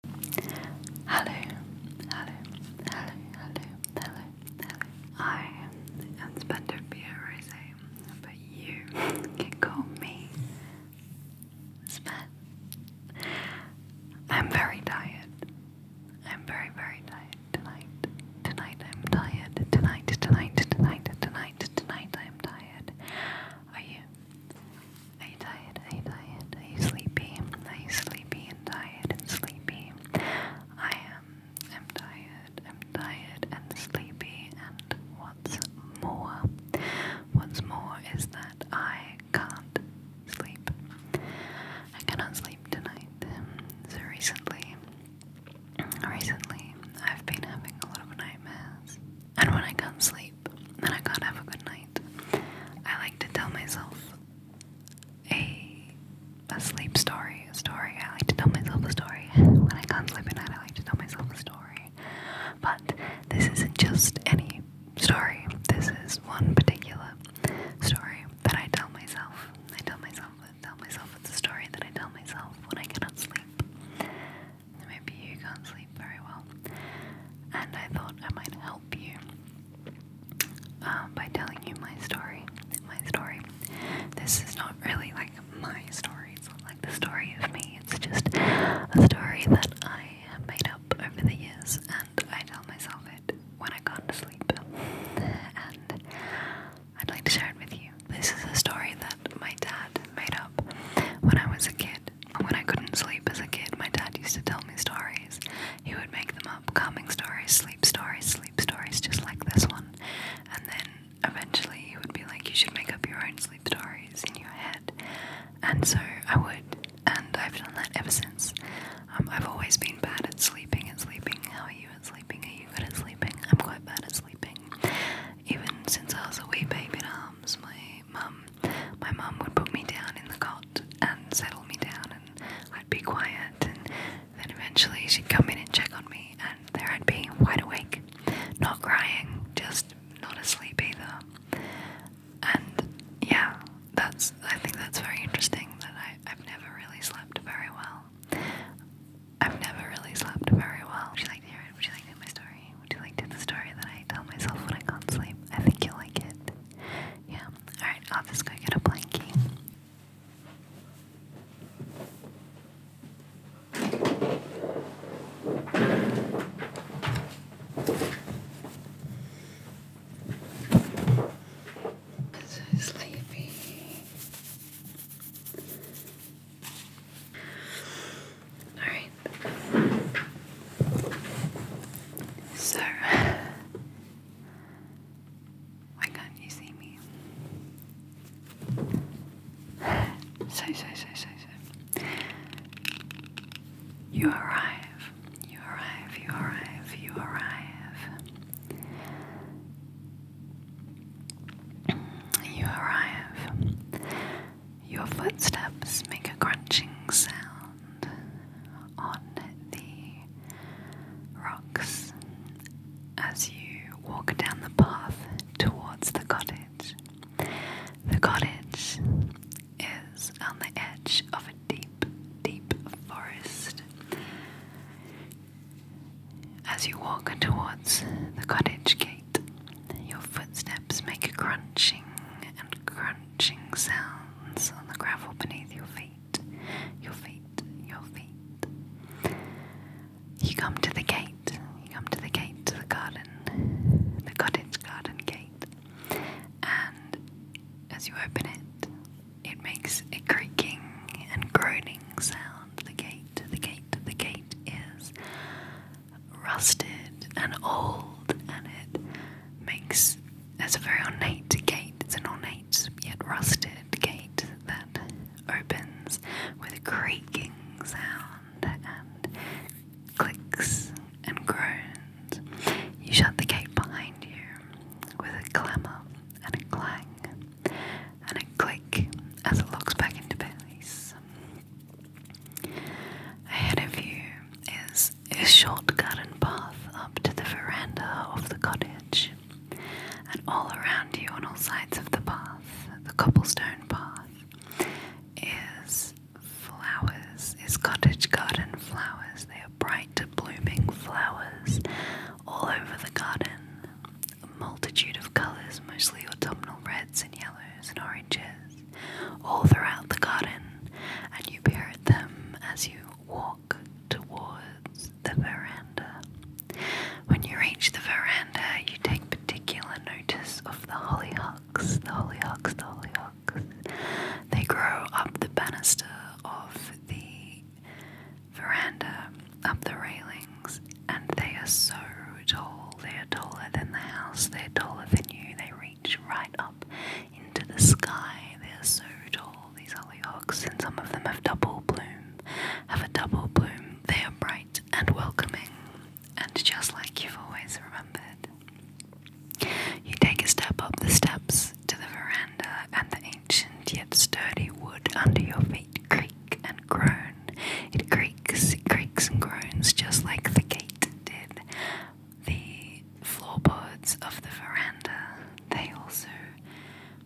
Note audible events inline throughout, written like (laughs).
Hello, hello, hello, hello, hello, hello. I am Spencer Pierre but you can call me Spen. I'm very tired. I'm very, very tired tonight. Tonight I'm tired. tonight, tonight, tonight, tonight, tonight I'm tired. Are you? I you tired? Are tired? Are sleepy? Are sleepy and tired and sleepy? I am. I'm tired. I'm tired and sleepy. And what's more, what's more is that I can't sleep. I cannot sleep tonight. So recently, recently, I've been having a lot of nightmares. And when I can't sleep, sleep I can't have a good night, I like to tell myself a a sleep story, a story. I like to tell myself a story. When I can't sleep at night, I like to tell myself a story. But this isn't just any story. This is one particular story that I tell myself. I tell myself, I tell myself it's a story that I tell myself when I cannot sleep. Maybe you can't sleep very well. And I thought I might help you um, by telling you my story. My story. This is not really like my story, it's not like the story of me, it's just a story that I have made up over the years and I tell myself it when I can't sleep. And I'd like to share it with you. This is a story that my dad made up when I was a kid. When I couldn't sleep as a kid, my dad used to tell me stories. He would make them up calming stories, sleep stories, sleep stories, just like this one. And then eventually he would be like, You should make up your own sleep stories in your head. And so I would, and I've done that ever since. Um, I've always been bad at sleeping and sleeping. How are you at sleeping? Are you good at sleeping? I'm quite bad at sleeping. Even since I was a wee baby in arms, my mum my mum would put me down in the cot and settle me down, and I'd be quiet, and then eventually she'd come in and check on me, and there I'd be, wide awake, not crying, just not asleep either. And yeah, that's I think that's very interesting that I, I've never really slept very well. I've never really slept very well. Would you like to hear it? Would you like to hear my story? Would you like to the story that I tell myself when I can't sleep? I think you'll like it. Yeah. Alright, I'll just go get a blankie. so sleepy. Alright. So, why can't you see me? So, so, so, so, so. You arrive, you arrive, you arrive, you arrive. You arrive. Your footsteps make a crunching sound on the rocks as you walk down the path towards the cottage. The cottage is on the edge of a deep, deep forest. As you walk towards the cottage gate, your footsteps make crunching and crunching sounds on the gravel beneath your feet. Your feet, your feet. You come to the gate. You come to the gate to the garden, the cottage garden gate. And as you open it, it makes a creaking and groaning sound. The gate, the gate, the gate is rusted and old, and it makes it's a very ornate gate. It's an ornate yet rusted gate that opens with a creaking sound and clicks and groans. You shut the gate behind you with a clamour and a clang and a click as it locks back into place. Ahead of you is a short garden path up to the veranda of the cottage, and all around you on all sides of the path, the cobblestone path, is flowers, is cottage garden flowers. They are bright, blooming flowers all over the garden, a multitude of colours, mostly autumnal reds and yellows and oranges all throughout the garden, and you parrot them as you walk towards the veranda. When you reach the veranda, you take particular notice of the hollyhocks, the hollyhocks, the hollyhocks. They grow up the banister of the veranda, up the railings, and they are so grow tall, they are taller than the house, they are taller than you, they reach right up into the sky, they are so tall, these hollyhocks, and some of them have double bloom, have a double bloom, they are bright and welcoming, and just like you've always remembered. You take a step up the steps to the veranda, and the ancient yet sturdy wood under your feet creak and groan. It creaks, it creaks and groans just like the gate did the floorboards of the veranda. They also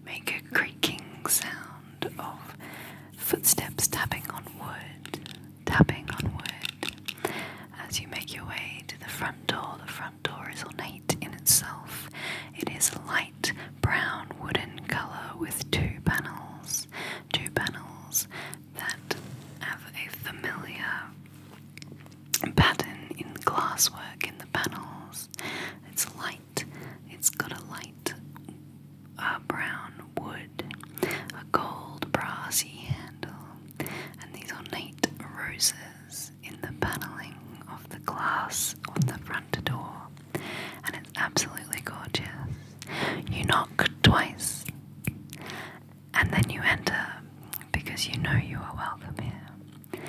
make a creaking sound of footsteps tapping on wood, tapping on wood. As you make your way to the front door, the front door is ornate in itself. It is light brown wooden colour with two panels, two panels that have a familiar pattern in glasswork in the panels. It's light, it's got a light a uh, brown wood, a gold brassy handle, and these ornate roses in the panelling of the glass on the front door. And it's absolutely gorgeous. You knock twice and then you enter because you know you are welcome here.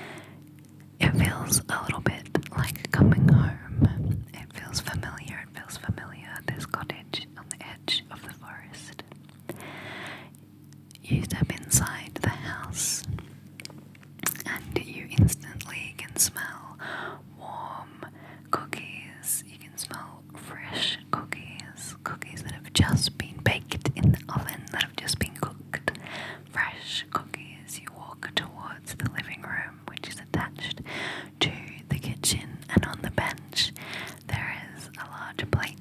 It feels a little bit like coming home. It feels familiar, it feels familiar. This cottage on the edge of the forest. You step inside the house and you instantly can smell warm cookies. You can smell fresh cookies, cookies that have just been baked in the oven, that have just been cooked. Fresh cookies. You walk towards the living room, which is attached to the kitchen, and on the bench there is a large plate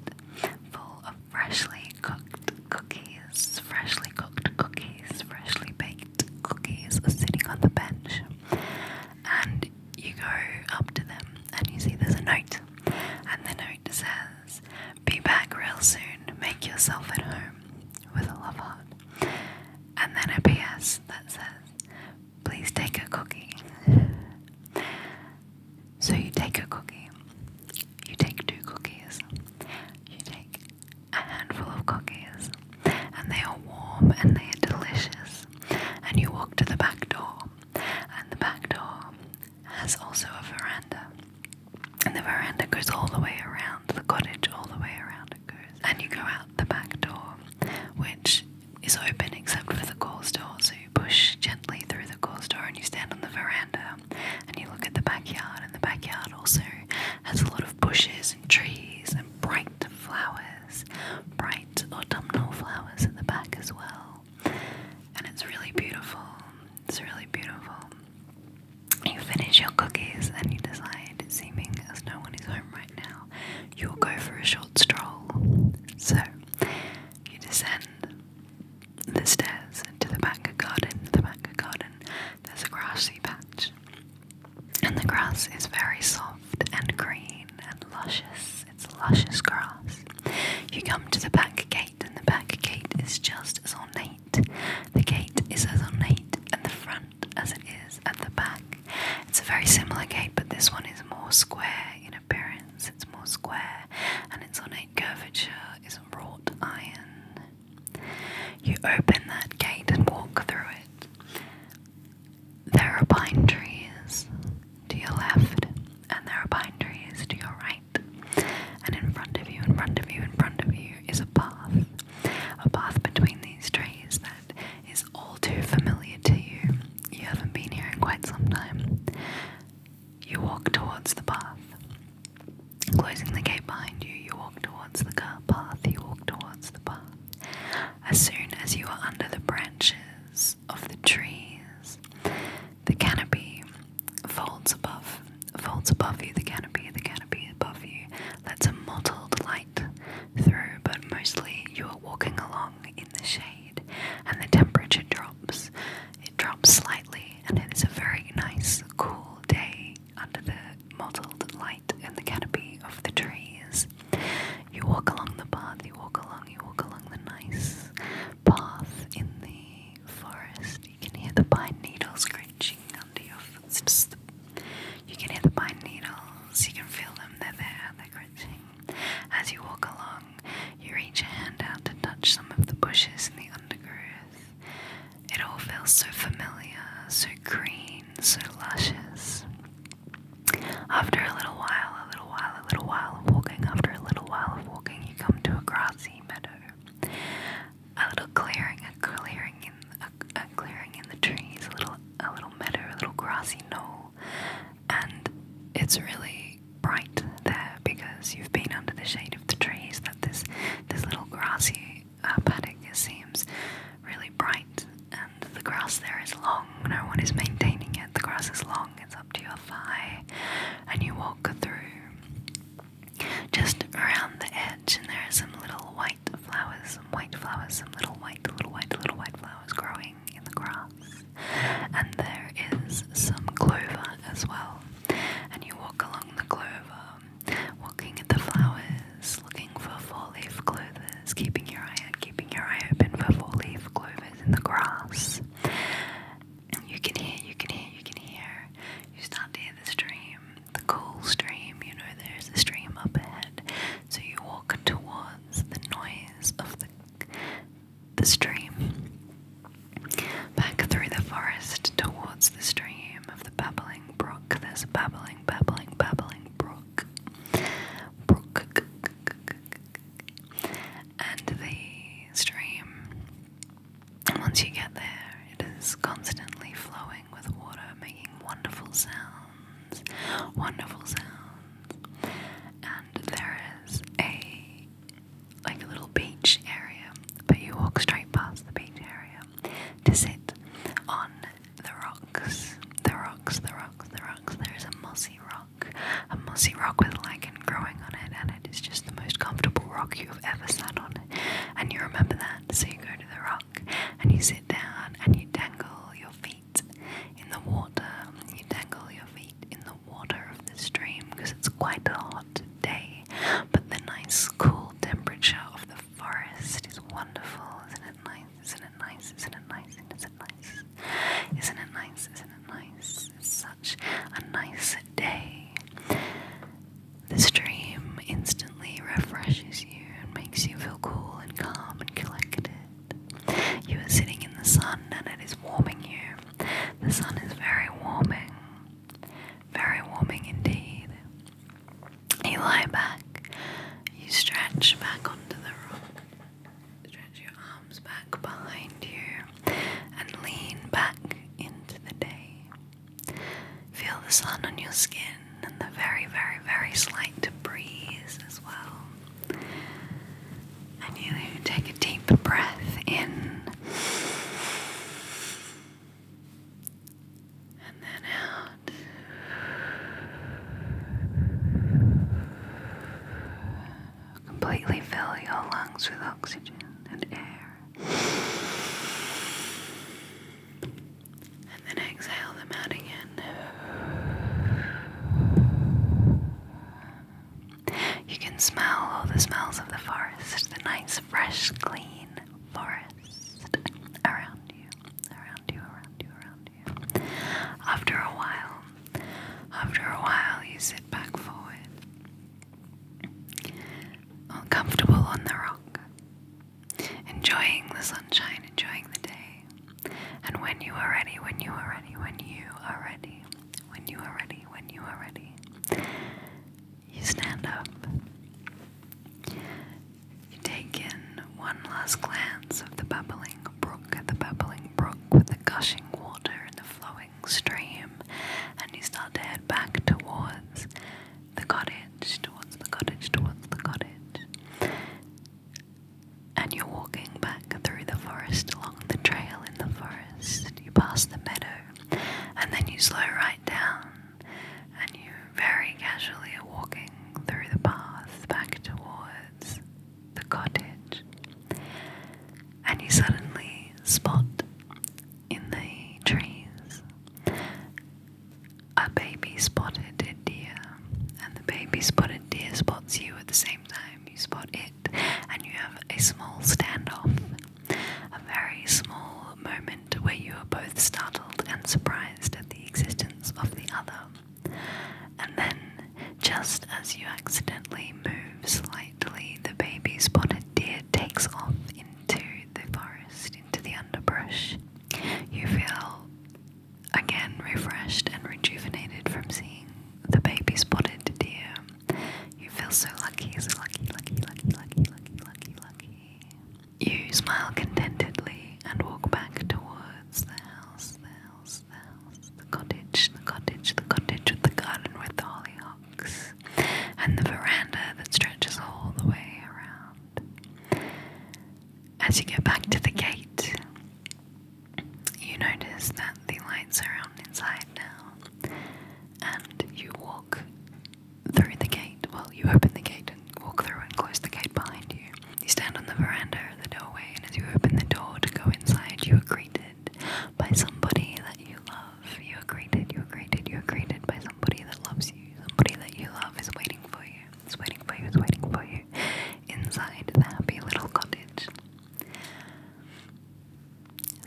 full of freshly cooked cookies, freshly cooked cookies, freshly baked cookies sitting on the bench. And you go up to them and you see there's a note, and the note says, Be back real soon, make yourself at home with a love heart. And then a PS that says, Please take a cookie. So you take a cookie, you take two cookies, you take a handful of cookies, and they are warm and they are delicious. And you walk to the back door, and the back door has also a veranda. And the veranda goes all the way around the cottage, all the way around it goes. And you go out the back door, which is open except for the cause door. So you push gently through the cause door and you stand on the veranda and you look at the backyard. And the backyard also has a lot of bushes and trees and bright flowers, bright autumnal flowers in the back as well. And it's really beautiful. It's really beautiful. You finish your cookies and you decide, seeming as no one is home right now, you'll go for a short stroll. So you descend the stairs into the back garden. The back garden, there's a grassy patch. And the grass is very soft and green and luscious. It's luscious grass. You come to the back gate, and the back gate is just as ornate. The gate is as ornate at the front as it is at the back. It's a very similar gate, but this one is more square in appearance. It's more square, and its ornate curvature is wrought iron. You open that gate and walk through it. There are pine trees to your left, and there are pine trees to your right. And in front of you, in front of you, in front of you is a path. A path between these trees that is all too familiar to you. You haven't been here in quite some time. You walk towards the path. Closing the gate behind you, you walk towards the car path, you walk towards the path. As soon as you are under the branches of the trees, the canopy folds above, folds above you, the canopy, the canopy above you, lets a mottled light through, but mostly you are walking along in the shade and the temperature drops. It drops slightly and it is a very nice, cool day under the mottled light light in the canopy of the trees. You walk along the path, you walk along, you walk along the nice path in the forest. You can hear the pine needles crunching under your footsteps. You can hear the pine needles, you can feel them, they're there, they're crunching. As you walk along, you reach your hand out to touch some of the bushes in the undergrowth. It all feels so familiar, so green, so luscious. After a little while, a little while, a little while of walking, after a little while of walking, you come to a grassy meadow. A little clearing, a clearing in a, clearing in the trees, a little a little meadow, a little grassy knoll, and it's really bright there because you've been under the shade of the trees that this this little grassy uh, paddock seems really bright, and the grass there is long. No one is maintaining it. The grass is long; it's up to your thigh, and you walk through just around the edge. And there are some little white flowers, some white flowers, some little white, little white, little white flowers growing in the grass. And there is some clover as well. And you walk along the clover, looking at the flowers, looking for four-leaf clovers, keeping your eye out, keeping your eye open for four-leaf clovers in the grass. you can hear, you can hear, you can hear. You start to hear the stream, the cool stream. You know there's a stream up ahead, so you walk towards the noise of the the stream. Back through the forest towards the stream of the babbling brook. There's a babbling, babbling, babbling brook. Brook. And the stream, once you get there, it is constantly flowing with water, making wonderful sounds. Wonderful sounds. And there is a like a little beach area, but you walk straight past the beach area to sit on the rocks, the rocks, the rocks, the rocks. There's a mossy rock, a mossy rock with lichen growing on it, and it is just the most comfortable rock you've ever sat on. And you remember that, so you go to the rock and you sit down and you dangle your feet in the water. You dangle your feet in the water of the stream because it's quite a hot day, but the nice cool temperature of the forest is wonderful, isn't it nice? Isn't it nice? Isn't it nice? Isn't it nice? Isn't it nice? Isn't it nice? such a nice day. The stream instantly refreshes you and makes you feel cool and calm and collected. You are sitting in the sun and it is warming you. The sun is very warming. Very warming indeed. You lie back, you stretch back onto the rock, stretch your arms back behind you, and lean back into the day. Feel the sun on your skin and the very, very, very slight breeze as well. And you take a deep breath in and then out. Completely fill your lungs with oxygen and air. And then exhale them out again. You can smell all the smells of the forest, the nice, fresh, clean forest around you around you, around you, around you. After a while, after a while, you sit back forward, all comfortable on the rock, enjoying the sunshine, enjoying the day. And when you are ready, when you are ready, when you are ready, when you are ready, when you are ready, you stand up. You Take in one last glance of the bubbling brook, the bubbling brook with the gushing water and the flowing stream, and you start to head back towards the cottage, towards the cottage, towards the cottage. And you're walking back through the forest, along the trail in the forest. You pass the meadow, and then you slow right down and you very casually are walking through the path back towards the cottage, and you suddenly spot in the trees a baby spotted deer, and the baby spotted deer spots you at the same time you spot it, and you have a small standoff, a very small moment where you are both startled and surprised at the existence of the other. And then, just as you accidentally move slightly, the baby spotted deer takes off into the forest, into the underbrush. You feel again refreshed and rejuvenated from seeing the baby spotted deer. You feel so lucky, so lucky, lucky, lucky, lucky, lucky, lucky, lucky. You smile contentedly and walk back towards the house, the house, the house, the cottage, the cottage, the cottage with the garden with the hollyhocks, and the veranda that stretches all the way around. As you get back to the gate, you notice that the lights are on inside now, and you walk through the gate. Well, you open the gate and walk through and close the gate behind you. You stand on the veranda at the doorway, and as you open the door to go inside, you are greeted by somebody that you love. You are greeted, you are greeted, you are greeted by somebody that loves you. Somebody that you love is waiting for you, is waiting for you, is waiting for you inside the happy little cottage.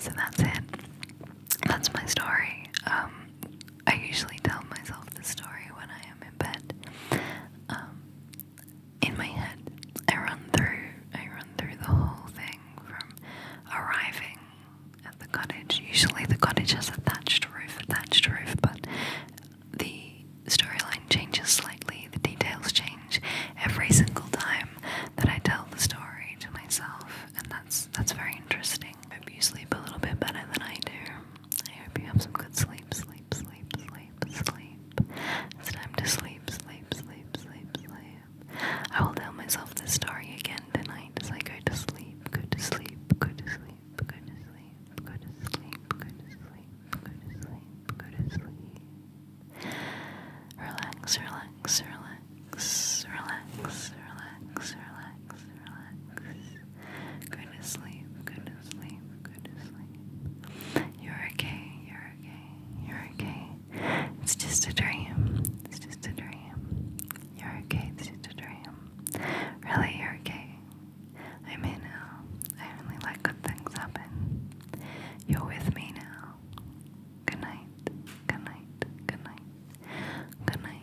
So that's it. That's my story. Um, I usually tell myself the story when I am in bed. Um, in my head, I run through. I run through the whole thing from arriving at the cottage. Usually, the cottage has a thatched roof, a thatched roof, but the storyline changes slightly. The details change every single time that I tell the story to myself, and that's that's very interesting. I Hope you sleep a little bit better than I do. I hope you have some good sleep, sleep, sleep, sleep, sleep. It's time to sleep, sleep, sleep, sleep, sleep. I will tell myself this story again tonight as I go to sleep, go to sleep, go sleep, go sleep, go sleep, go sleep, go sleep, go sleep. Relax, relax, relax relax, relax, relax, relax, relax. Go to sleep, go to sleep, go to sleep. You're okay, you're okay, you're okay. It's just a dream, it's just a dream. You're okay, it's just a dream. Really, you're okay. I'm in now. I only let good things happen. You're with me now. Good night. Good night. Good night. Good night.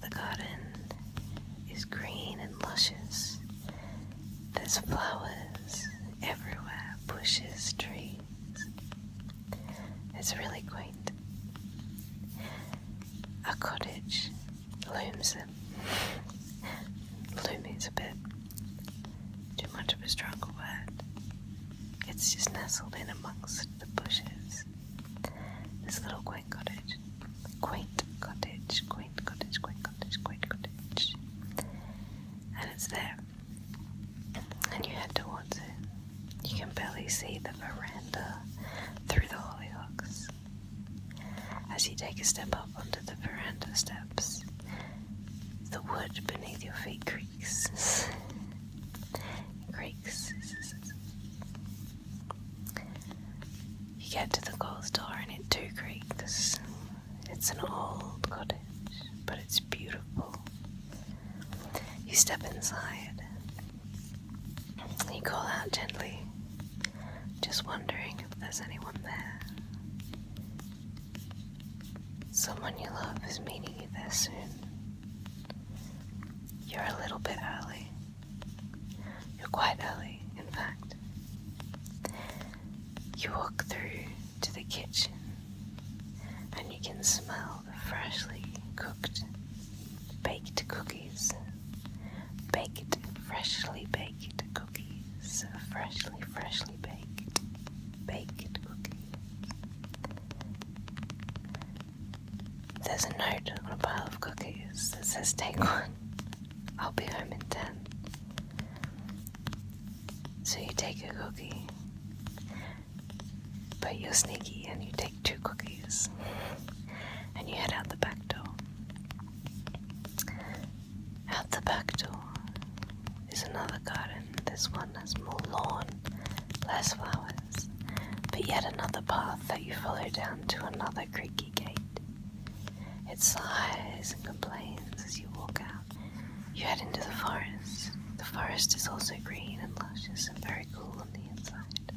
The garden is green and luscious. There's flowers everywhere, bushes, trees. It's really quaint. A cottage looms it. is a bit too much of a stronger word. It's just nestled in amongst the bushes. This little quaint cottage, quaint cottage, quaint cottage, quaint cottage, quaint cottage. And it's there. And you head towards it. You can barely see the veranda through the hollyhocks. As you take a step up onto the veranda steps, the wood beneath your feet creaks. (laughs) creaks. You get to the ghost door and it too creaks. It's an old cottage, but it's beautiful. You step inside. You call out gently, just wondering if there's anyone there. Someone you love is meeting you there soon. You're a little bit early. You're quite early, in fact. You walk through to the kitchen and you can smell the freshly cooked baked cookies. Baked, freshly baked cookies. Freshly, freshly baked. Baked cookies. There's a note on a pile of cookies that says, Take one. I'll be home in 10. So you take a cookie, but you're sneaky and you take two cookies and you head out the back door. Out the back door is another garden. This one has more lawn, less flowers but yet another path that you follow down to another creaky gate. It sighs and complains as you walk out. You head into the forest. The forest is also green and luscious and very cool on the inside.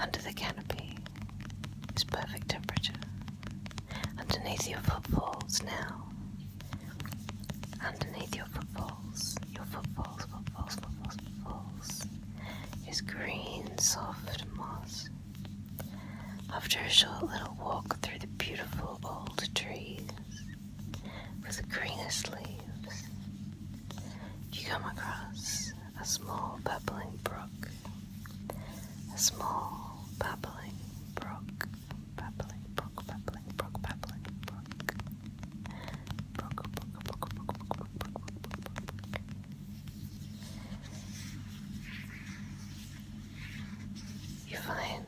Under the canopy is perfect temperature. Underneath your footfalls now Underneath your footfalls, your footfalls, footfalls, footfalls, footfalls, is green, soft moss. After a short little walk through the beautiful old trees with the greenest leaves, you come across a small babbling brook. A small babbling brook, babbling brook, babbling brook, babbling brook. You find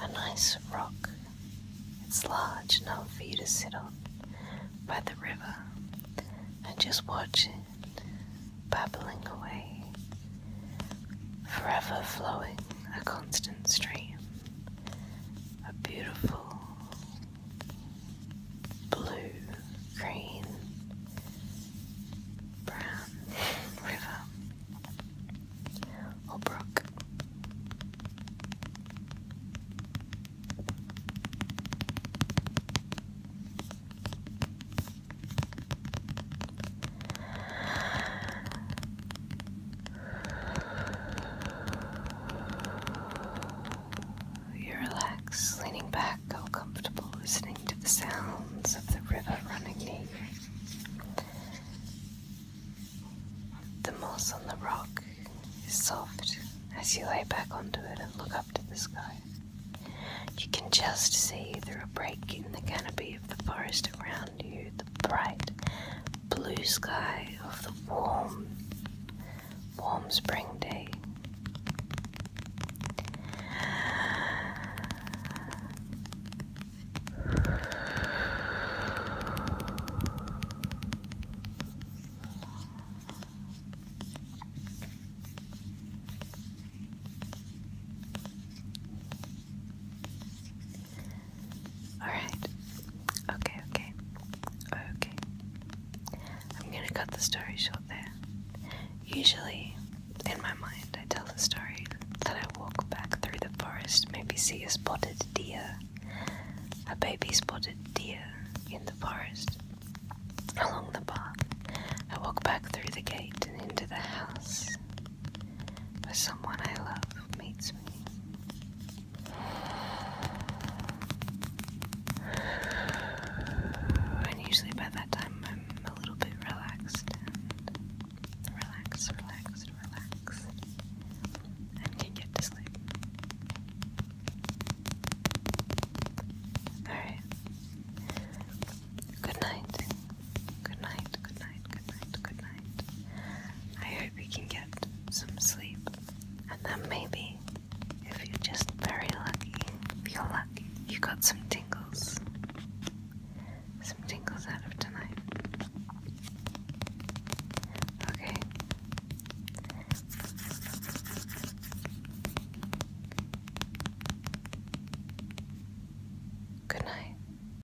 a nice rock. It's large enough for you to sit on by the river and just watch it babbling away, forever flowing a constant stream a beautiful blue, green, brown river or brook. You relax, leaning back, all comfortable, listening to the sounds of the river running near The moss on the rock is soft as you lay back onto it and look up to the sky. You can just see through a break in the canopy of the forest around value the bright blue sky of the warm, warm spring day. Alright. Okay, okay. Okay. I'm gonna cut the story short there. Usually, in my mind, I tell the story that I walk back through the forest, maybe see a spotted deer, a baby spotted deer in the forest, along the path. I walk back through the gate and into the house, where someone I love meets me. And usually by that time I'm a little bit relaxed relaxed, relaxed, relaxed, and can get to sleep. Alright. Good night. Good night. Good night. Good night, I hope you can get some sleep. And then maybe, if you're just very lucky, if you're lucky, you got some tingles. Some tingles out of tonight. Okay. Good night.